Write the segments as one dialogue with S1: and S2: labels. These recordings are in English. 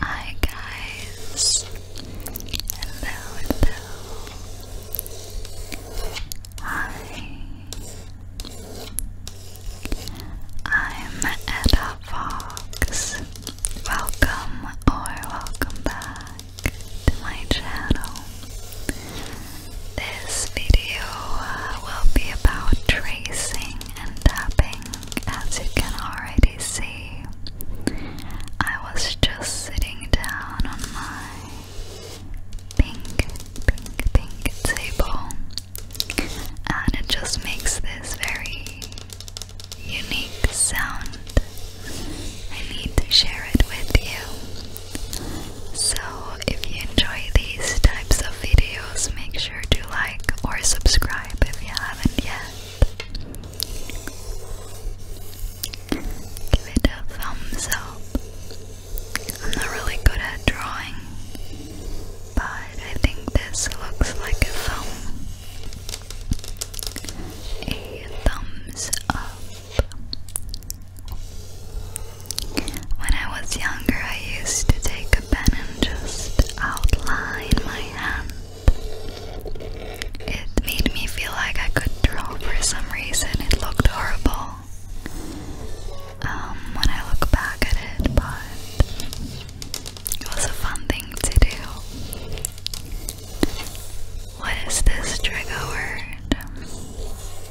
S1: Hi guys. Hello, hello. Hi. I'm Edda Fox. Welcome or welcome back to my channel. This video uh, will be about tracing and tapping as you can already see. I was just sitting down on my pink, pink, pink table and it just makes this very unique sound. I need to share it with you. So, if you enjoy these types of videos, make sure to like or subscribe if you haven't yet. Give it a thumbs up. I'm not really good at drawing, but I think this looks like a thumb. A thumbs up. When I was younger, I used to take a pen and just outline my hand. It made me feel like I could draw for some reason. It looked horrible um, when I look back at it, but it was a fun thing to do. What is this trigger word?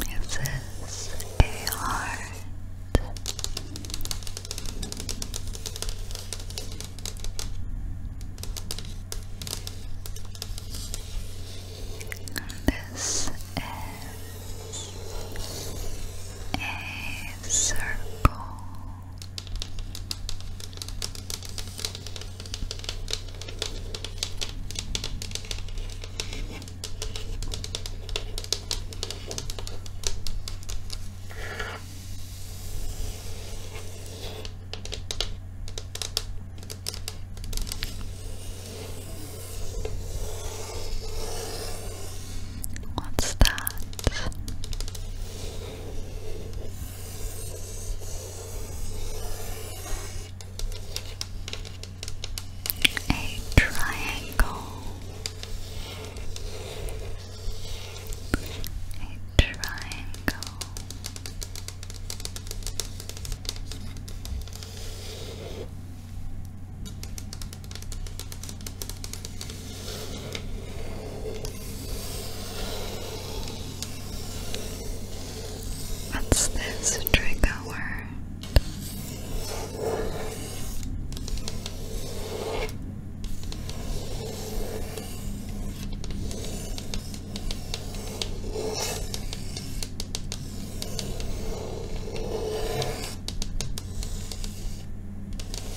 S1: Is this a heart? This is a circle. What's that? a triangle, a triangle. What's this trigger word?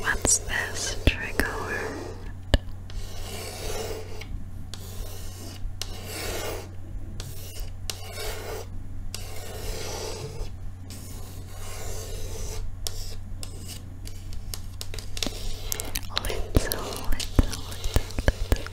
S1: What's this trigger Little, little, little, little.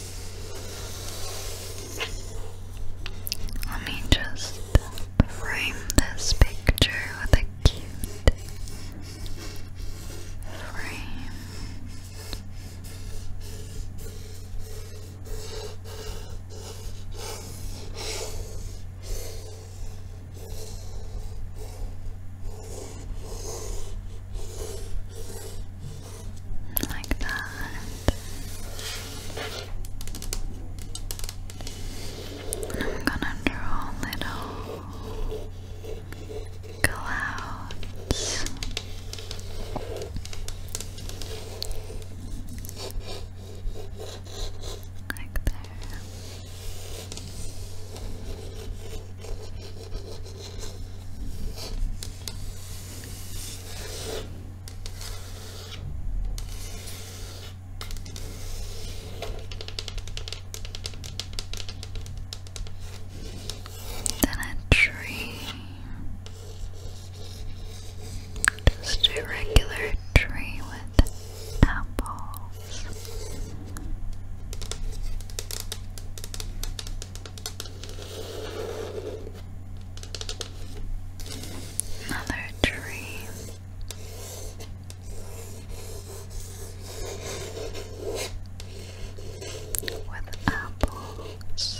S1: Let me just frame this picture with a cute frame like that. I'm gonna draw little clouds. Like there. Then a tree. Just a regular tree with apples. Another tree. With apples,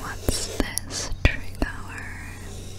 S1: What's this trigger word?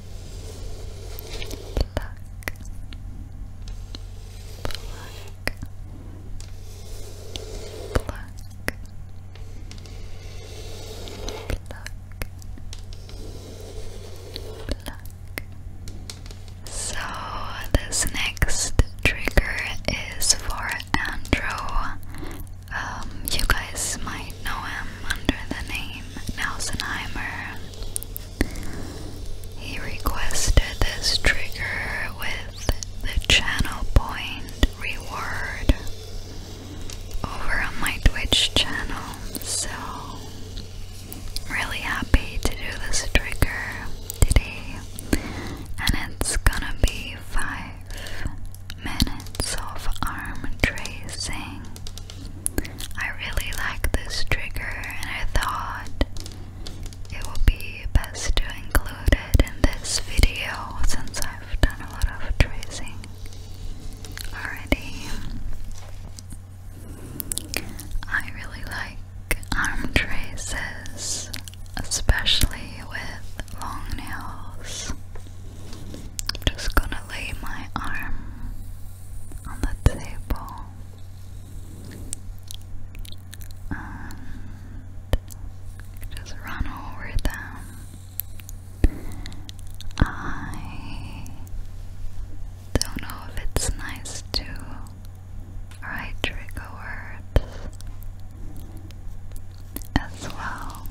S1: Pluck. So this next trigger is for Andrew. Um, you guys might know him under the name Nelsenheimer. He requested this trigger with the channel point reward over on my Twitch channel, so really happy to do this trigger today, and it's gonna be five minutes of arm tracing. I really like this trigger and I thought it would be best to include it in this video since I've done a lot of tracing already. I really like arm traces, especially with long nails. I'm just gonna lay my arm on the table and just run over them. I don't know if it's nice to write trigger words as well.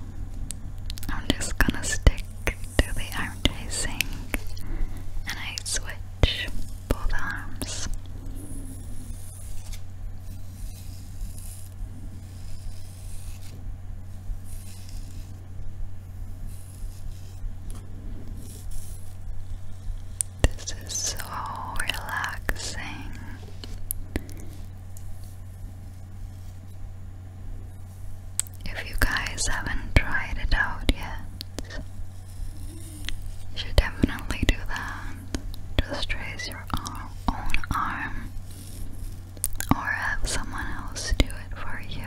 S1: I'm just gonna stick to the arm tracing and I switch stretch both arms. This is so relaxing. If you guys haven't tried it out yet, you should definitely do that. Just raise your own arm or have someone else do it for you.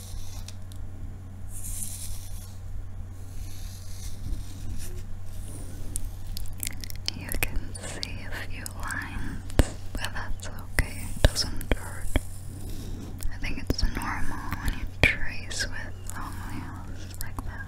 S1: You can see a few lines, but that's okay, it doesn't hurt. I think it's normal when you trace with long nails like that.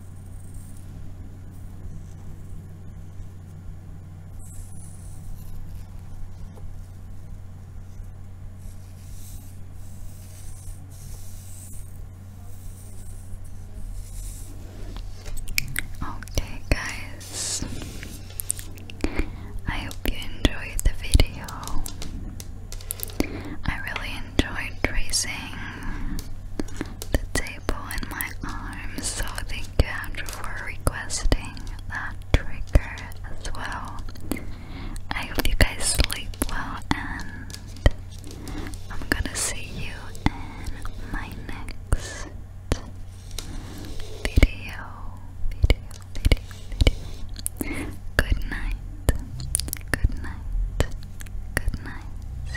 S1: Okay, guys, I hope you enjoyed the video. I really enjoyed tracing the in my arm, so thank you Andrew for requesting that trigger as well. I hope you guys sleep well and I'm gonna see you in my next video, video, video, video. Good night, good night, good night.